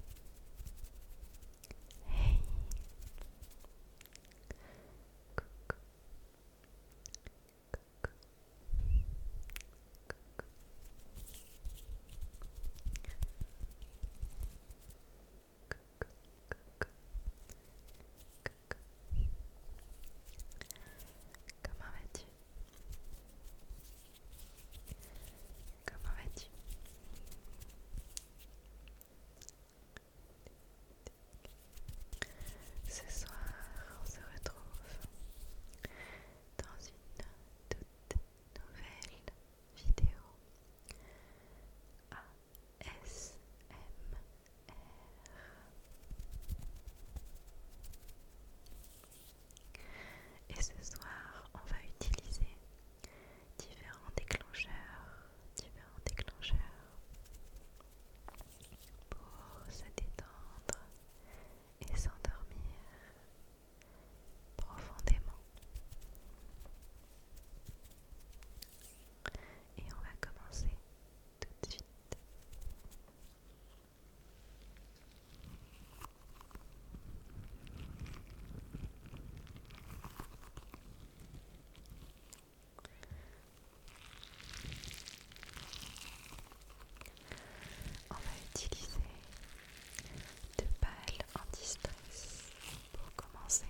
Hey Coucou Coucou Coucou Coucou Coucou Coucou Comment vas-tu Comment vas-tu Ce soir, on se retrouve dans une toute nouvelle vidéo ASMR. Et ce soir, on va utiliser différents déclencheurs, différents déclencheurs pour se détendre et s'endormir profondément. Et on va commencer tout de suite. On va utiliser deux balles anti-stress pour commencer.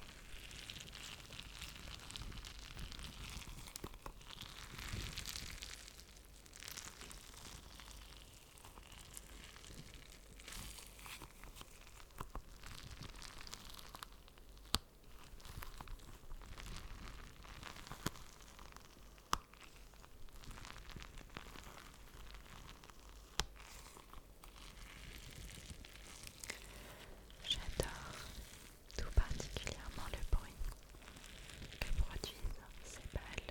J'adore tout particulièrement le bruit que produisent ces balles.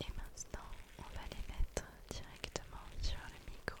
Et maintenant, on va les mettre directement sur le micro.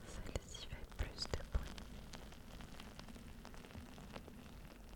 Celle-ci fait plus de bruit.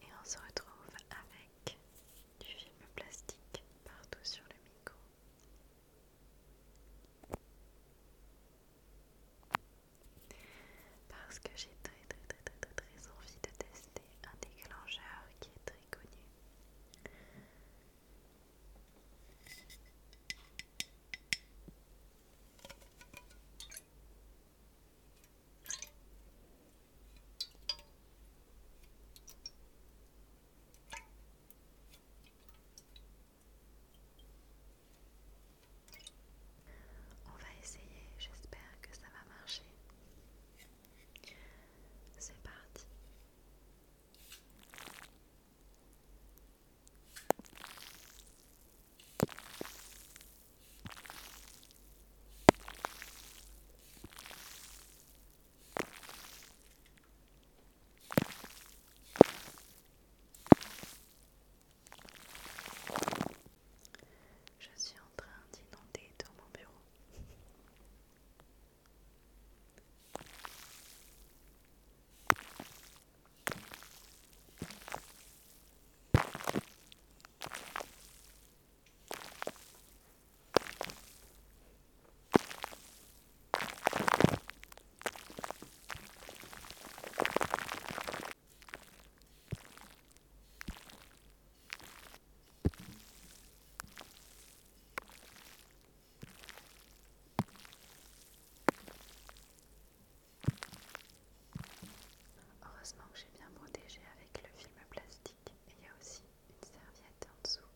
Et on se retrouve avec du film plastique partout sur le micro. Parce que j'ai très très très très très envie de tester un déclencheur qui est très connu. On va essayer, j'espère que ça va marcher. C'est parti. Je suis en train d'inonder dans mon bureau. Heureusement que j'ai bien protégé avec le film plastique et il y a aussi une serviette en dessous.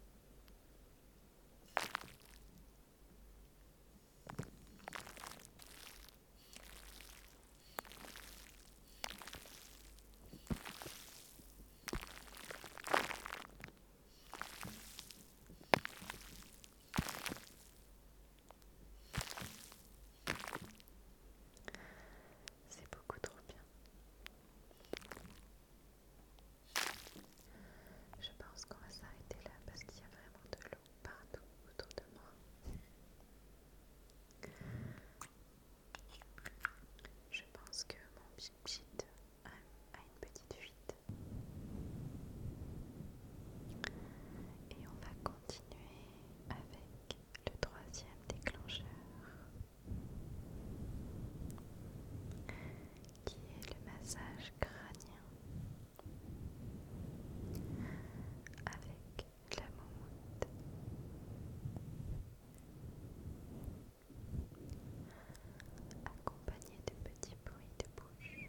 C'est beaucoup trop bien. Je pense qu'on va s'arrêter là parce qu'il y a vraiment de l'eau partout autour de moi. Je pense que mon petit a une petite fuite. Et on va continuer avec le troisième déclencheur qui est le massage crânien avec la moumoute. Accompagné de petits bruits de bouche.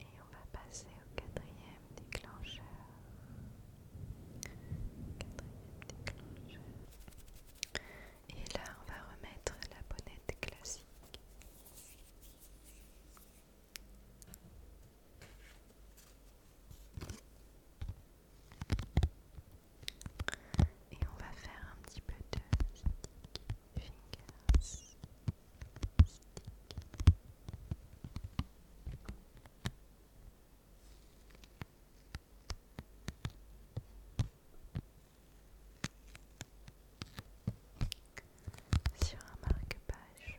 Et on va passer au quatrième déclencheur. Quatrième déclencheur. Et là, on va remettre la bonnette classique. Et on va faire un petit peu de stick Sur un marque-page.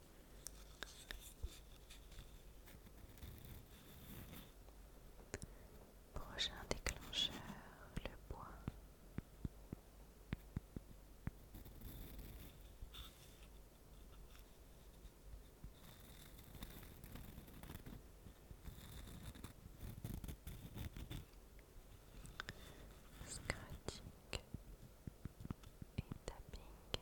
Prochain déclencheur, le bois. Scratching et tapping.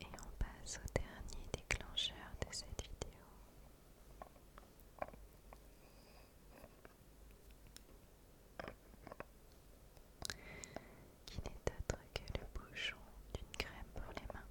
Et on passe au dernier déclencheur de cette vidéo. Qui n'est autre que le bouchon d'une crème pour les mains.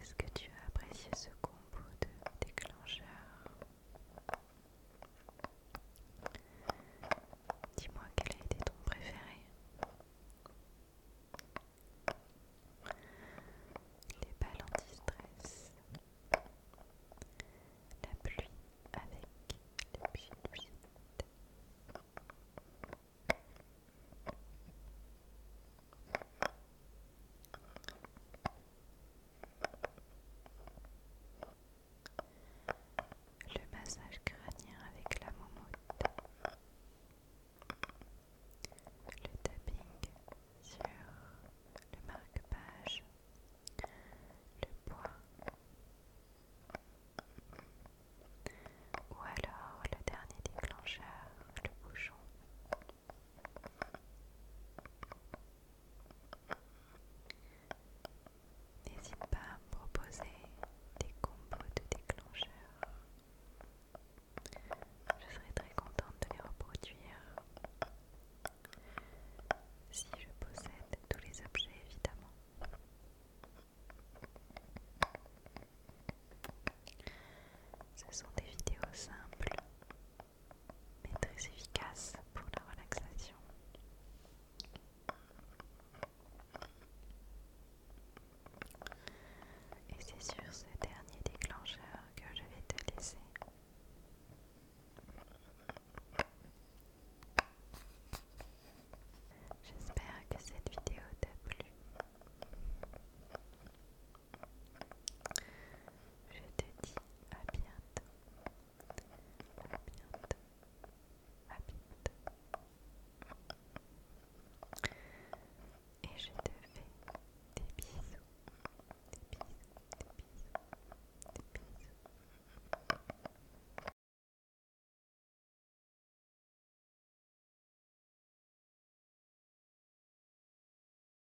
Est-ce que tu as apprécié ce combo de déclencheur Dis-moi quel a été ton préféré. Les balles anti-stress. La pluie avec les pieds le massage crânien avec la moumoute. Le tapping sur le marque-page. Le poids. Ou alors le dernier déclencheur, le bouchon. N'hésite pas à me proposer des combos de déclencheurs. Je serai très contente de les reproduire si je possède tous les objets évidemment. Ce sont des vidéos simples mais très efficace pour la relaxation. Et c'est sur ce dernier déclencheur que je vais te laisser. J'espère que cette vidéo t'a plu. Je te dis à bientôt. À bientôt. À bientôt. Et je te fais des bisous. Des bisous. Des bisous. Des bisous.